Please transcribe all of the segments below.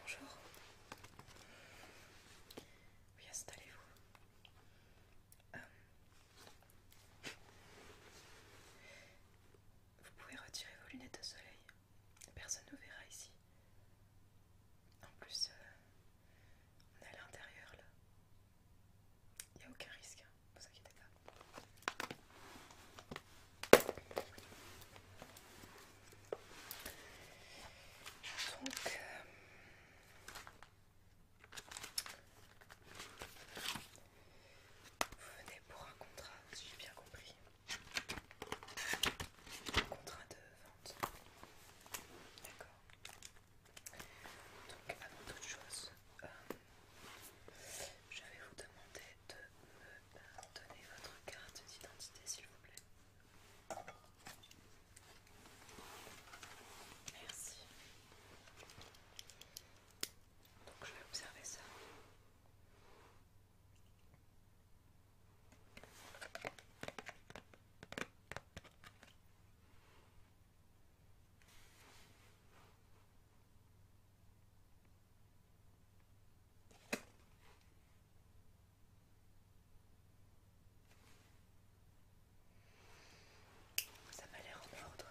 Bonjour. Oui, installez-vous. Euh, vous pouvez retirer vos lunettes de soleil. Personne ne verra ici. En plus, euh, on est à l'intérieur là. Il n'y a aucun risque, hein. ne vous inquiétez pas. Donc, euh, vous venez pour un contrat, si j'ai bien compris. Un contrat de vente. D'accord. Donc, avant toute chose, je vais vous demander de me donner votre carte d'identité, s'il vous plaît. Merci. Donc je vais observer ça. Ça m'a l'air en ordre.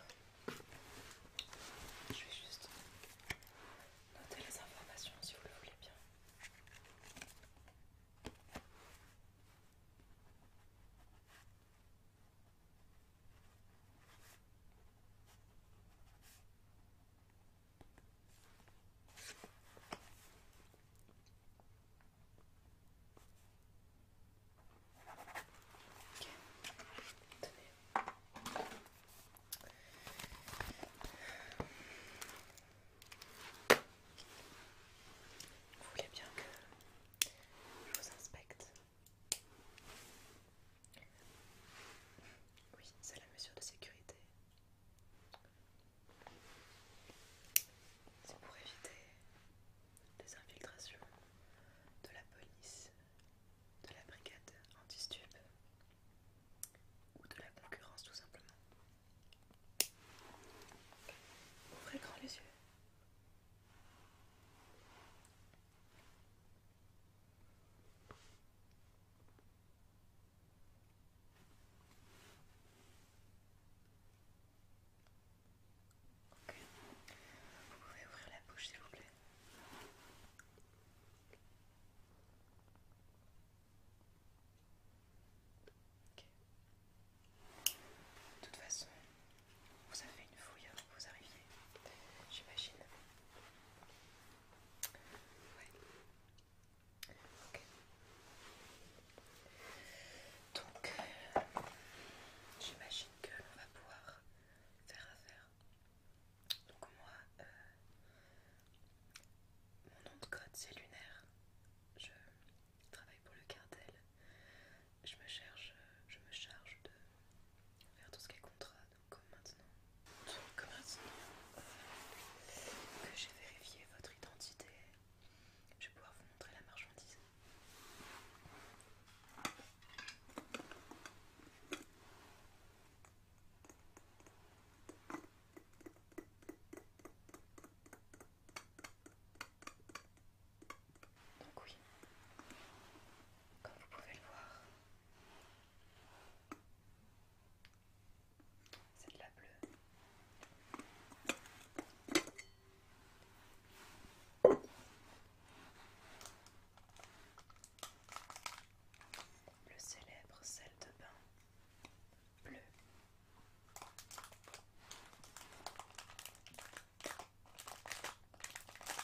Je vais juste noter les informations si vous le voulez bien. Vous voulez bien que je vous inspecte oui, c'est la mesure de sécurité. C'est pour éviter des infiltrations de la police, de la brigade anti-stup ou de la concurrence tout simplement. Ouvrez grand les yeux vous pouvez ouvrir la bouche s'il vous plaît. De toute façon, vous avez une fouille avant que vous arriviez, j'imagine. Ouais. Ok. Donc, euh, j'imagine que l'on va pouvoir faire affaire. Donc moi, euh, mon nom de code c'est Lunaire. Je travaille pour le cartel. Je me je me charge de on faire tout ce qui est contrat, comme maintenant. maintenant euh, que j'ai vérifié votre identité, je vais pouvoir vous montrer la marchandise. Donc oui, comme vous pouvez le voir, c'est de la bleue. Le célèbre sel de bain bleu.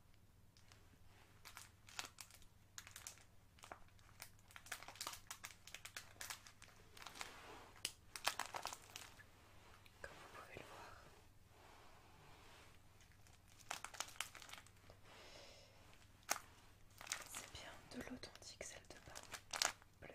Comme vous pouvez le voir, c'est bien de l'authentique celle de bas bleu.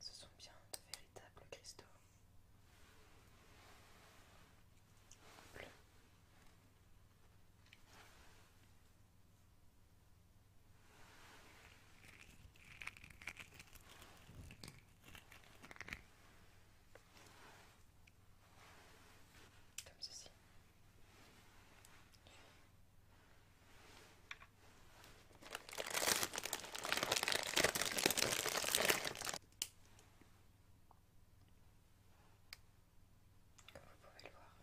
Ce sont bien de véritables cristaux. Comme ceci. Comme vous pouvez le voir.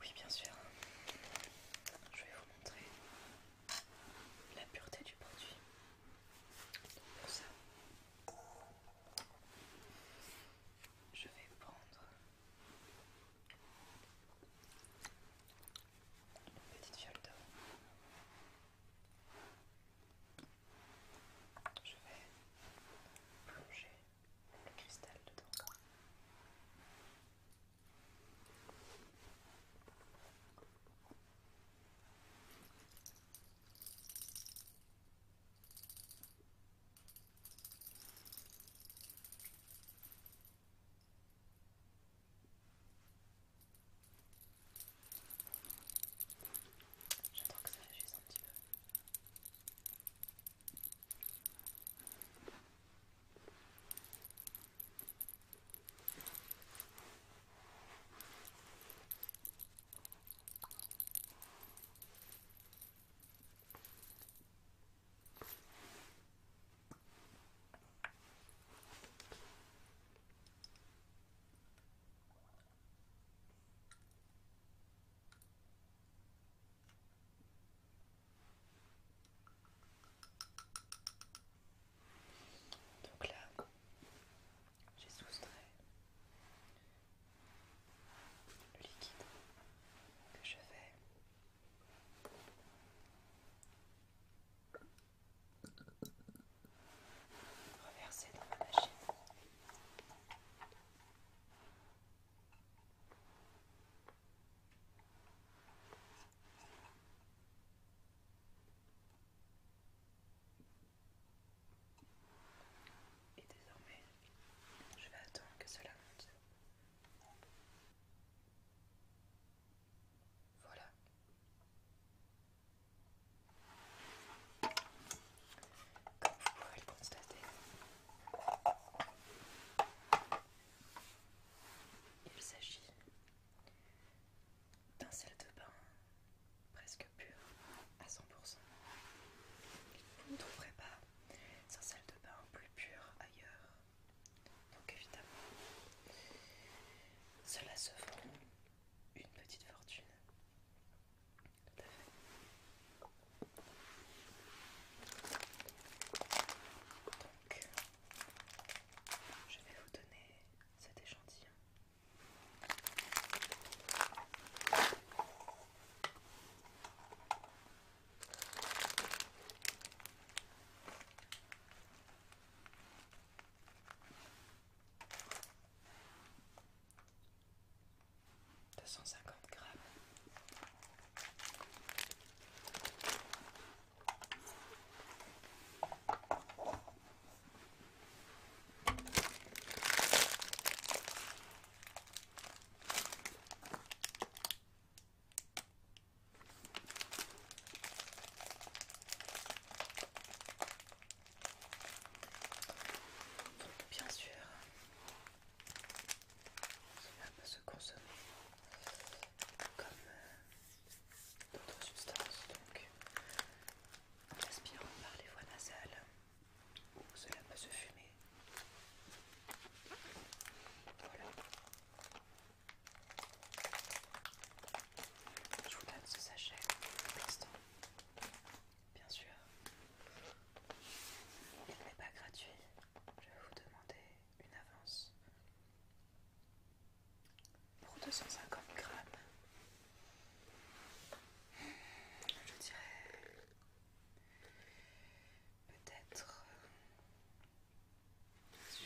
Oui, bien sûr. Je vais vous montrer la pureté du produit. ça, je vais prendre une petite fiole d'eau. Je vais plonger le cristal dedans. J'attends que ça réagisse un petit peu. Donc là, j'ai soustrait le liquide que je fais dans machine. Et désormais, je vais attendre que cela monte. Voilà. Comme vous pouvez le constater, il s'agit d'un sel de bain presque pur à 100%. Vous ne trouverez pas un sel de bain plus pur ailleurs. Donc évidemment, cela se vend une petite fortune je vais vous donner cet échantillon deux cent cinquante grammes. Donc bien sûr, cela peut se consommer comme euh, d'autres substances, donc en aspirant par les voies nasales, cela peut se fumer. Voilà. Je vous donne ce sachet pour l'instant. Bien sûr, il n'est pas gratuit. Je vais vous demander une avance pour 250 grammes. Je dirais peut-être euh, si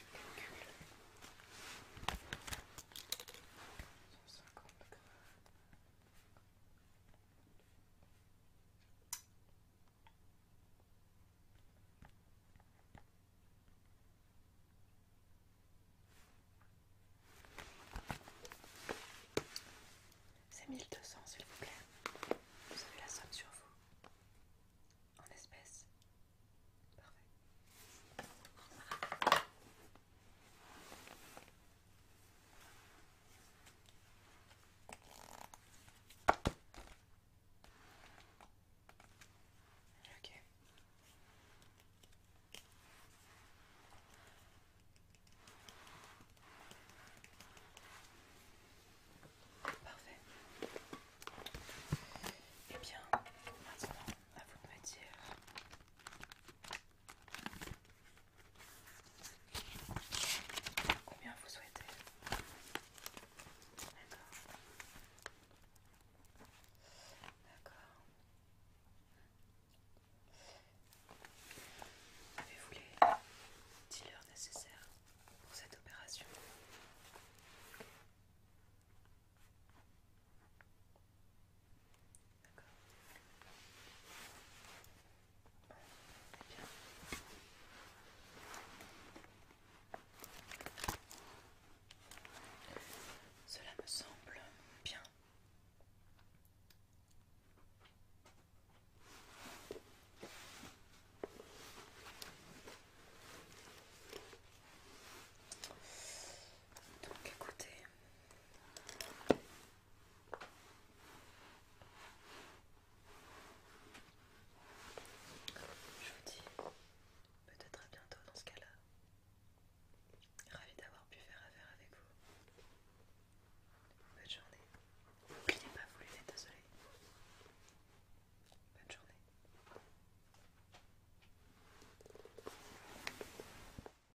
c'est 1200 s'il vous plaît. Vous avez la somme sur vous. En espèces. Parfait. Ok. Parfait. Eh bien, maintenant, à vous de me dire Combien vous souhaitez D'accord. Avez-vous les dealers nécessaires pour cette opération cela me semble bien. Donc écoutez, je vous dis peut-être à bientôt dans ce cas-là. Ravi d'avoir pu faire affaire avec vous. Bonne journée. N'oubliez pas voulu être désolé. Bonne journée.